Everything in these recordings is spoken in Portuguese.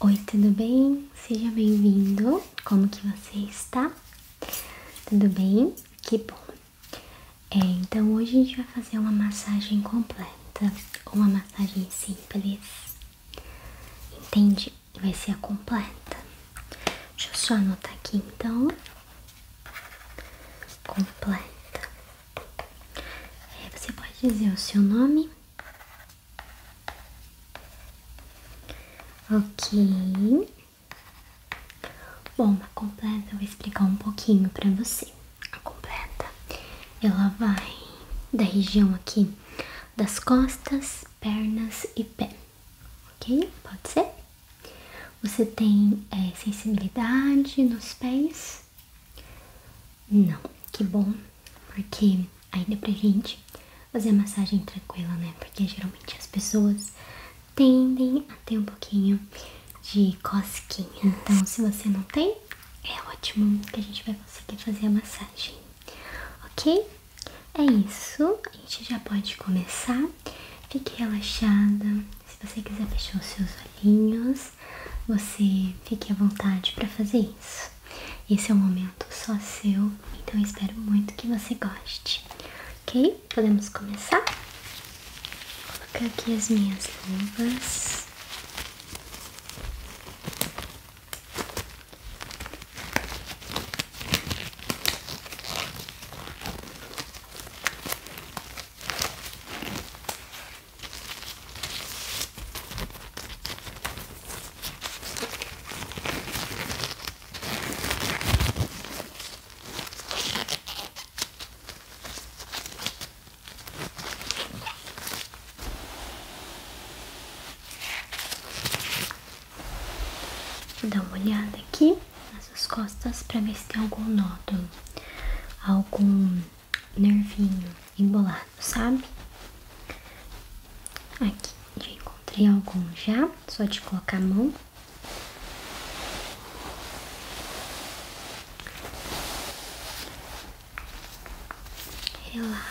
Oi, tudo bem? Seja bem-vindo. Como que você está? Tudo bem? Que bom. É, então hoje a gente vai fazer uma massagem completa, uma massagem simples. Entende? Vai ser a completa. Deixa eu só anotar aqui então. Completa. É, você pode dizer o seu nome Ok. Bom, a completa eu vou explicar um pouquinho pra você. A completa, ela vai da região aqui das costas, pernas e pé. Ok? Pode ser? Você tem eh, sensibilidade nos pés? Não, que bom, porque ainda deu pra gente fazer a massagem tranquila, né? Porque geralmente as pessoas tendem a ter um pouquinho de cosquinha. Então, se você não tem, é ótimo que a gente vai conseguir fazer a massagem, ok? É isso, a gente já pode começar. Fique relaxada. Se você quiser fechar os seus olhinhos, você fique à vontade para fazer isso. Esse é um momento só seu, então espero muito que você goste. Ok? Podemos começar? Vou colocar aqui as minhas luvas. Dá uma olhada aqui nas suas costas para ver se tem algum nódulo, algum nervinho embolado, sabe? Aqui, já encontrei algum já, só de colocar a mão. Relaxa.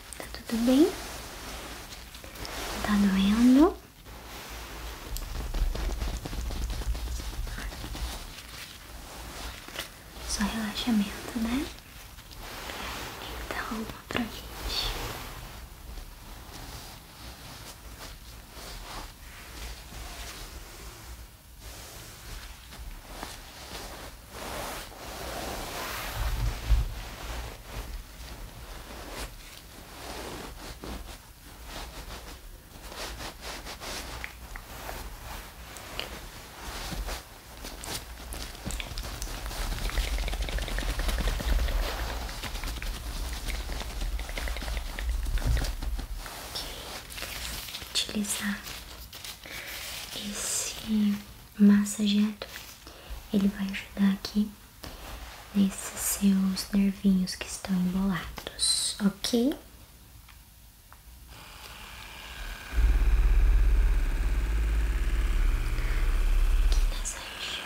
Tá tudo bem? Tá doendo? Só relaxamento, né? Então, pra gente utilizar esse massageado. Ele vai ajudar aqui nesses seus nervinhos que estão embolados, ok? Aqui nessa região.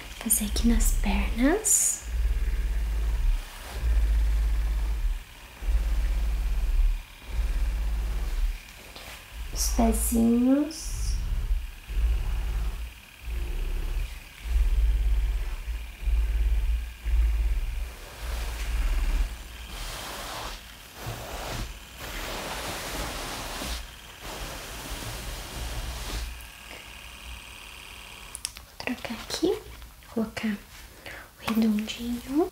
fazer aqui nas pernas. Os pezinhos trocar aqui, colocar o redondinho.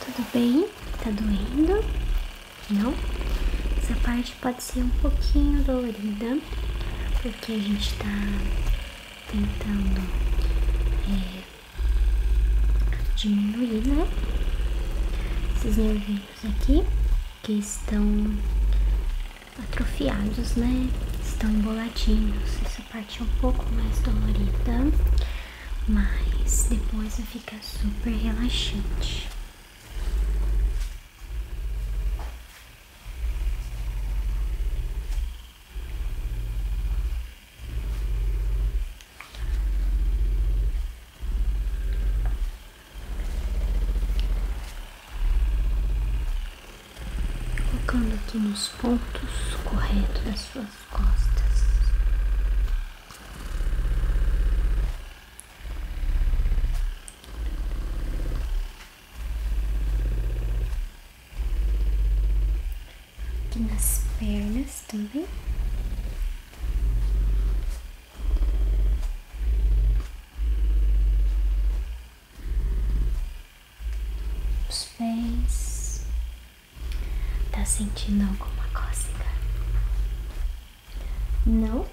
Tá tudo bem? Tá doendo? Não? Essa parte pode ser um pouquinho dolorida, porque a gente tá tentando é, diminuir, né? Esses nervinhos aqui que estão atrofiados, né? Estão emboladinhos. Essa parte é um pouco mais dolorida, mas depois fica super relaxante. Colocando aqui nos pontos corretos das suas costas. Aqui nas pernas também. Os pés. Tá sentindo alguma cócega? Não?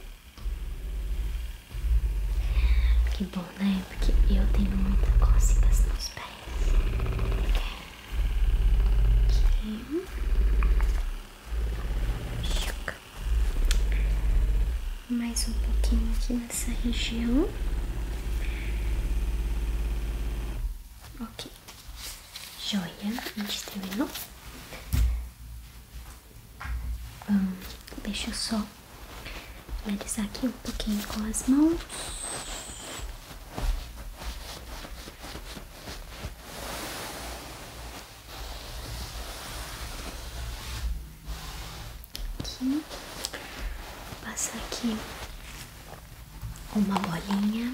Que bom, né? Porque eu tenho muita cócega nos pés mais um pouquinho aqui nessa região. Ok, joia, a gente terminou. Vamos hum, deixa eu só finalizar aqui um pouquinho com as mãos. Aqui. Passa aqui uma bolinha.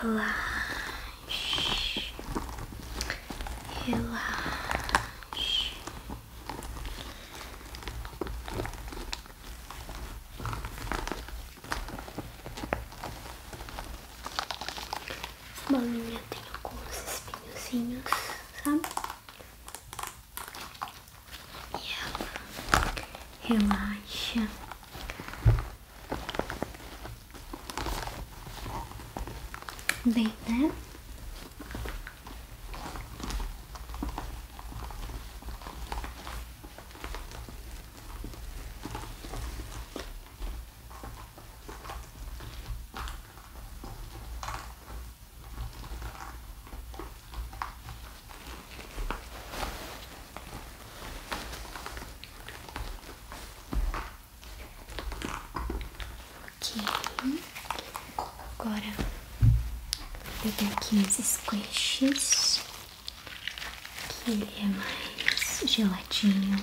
Relaxe, relaxe. Essa bolinha tem alguns espinhozinhos, sabe? E relaxa. Bem, né? Ok, agora eu tenho aqui esses squishes, que ele é mais geladinho.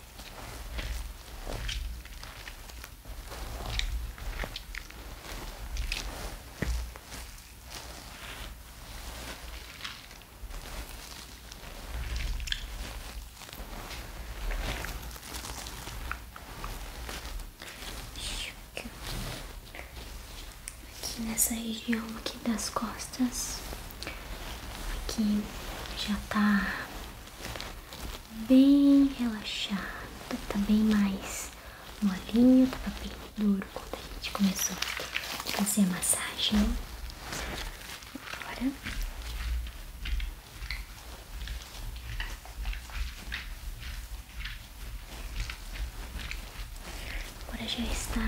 Aqui nessa região aqui das costas. Aqui já tá bem relaxado, tá bem mais molinho, tava tá bem duro quando a gente começou a fazer a massagem. Agora já está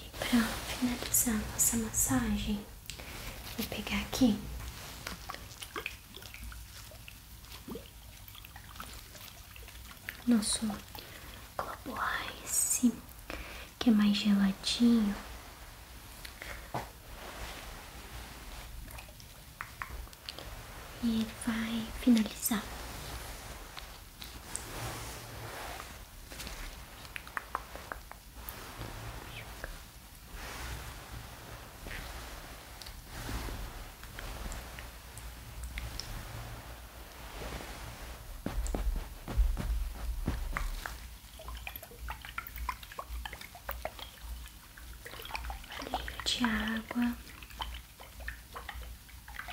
E para finalizar nossa massagem, vou pegar aqui nosso globo ice, que é mais geladinho. E vai finalizar Valinho de água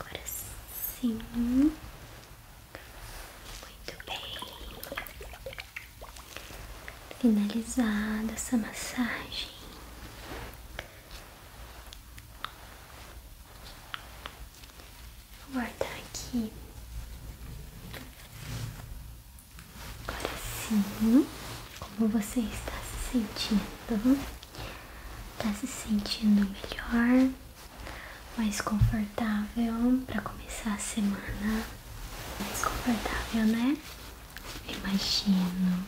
Agora sim. Muito bem finalizada essa massagem. Vou guardar aqui. Agora sim, como você está se sentindo? Está se sentindo melhor, mais confortável para começar a semana? mais confortável, né? Imagino.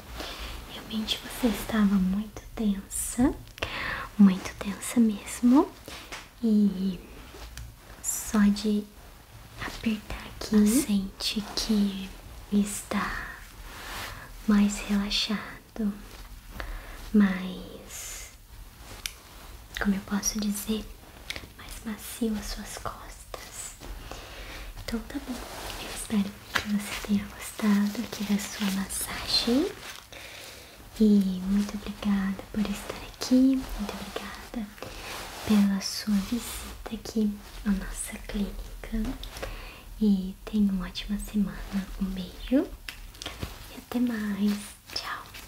Realmente você estava muito tensa, muito tensa mesmo. E só de apertar aqui, uhum. sente que está mais relaxado, mais como eu posso dizer, mais macio as suas costas. Então tá bom, eu espero que você tenha gostado aqui da sua massagem. E muito obrigada por estar aqui, muito obrigada pela sua visita aqui à nossa clínica. E tenha uma ótima semana. Um beijo e até mais. Tchau.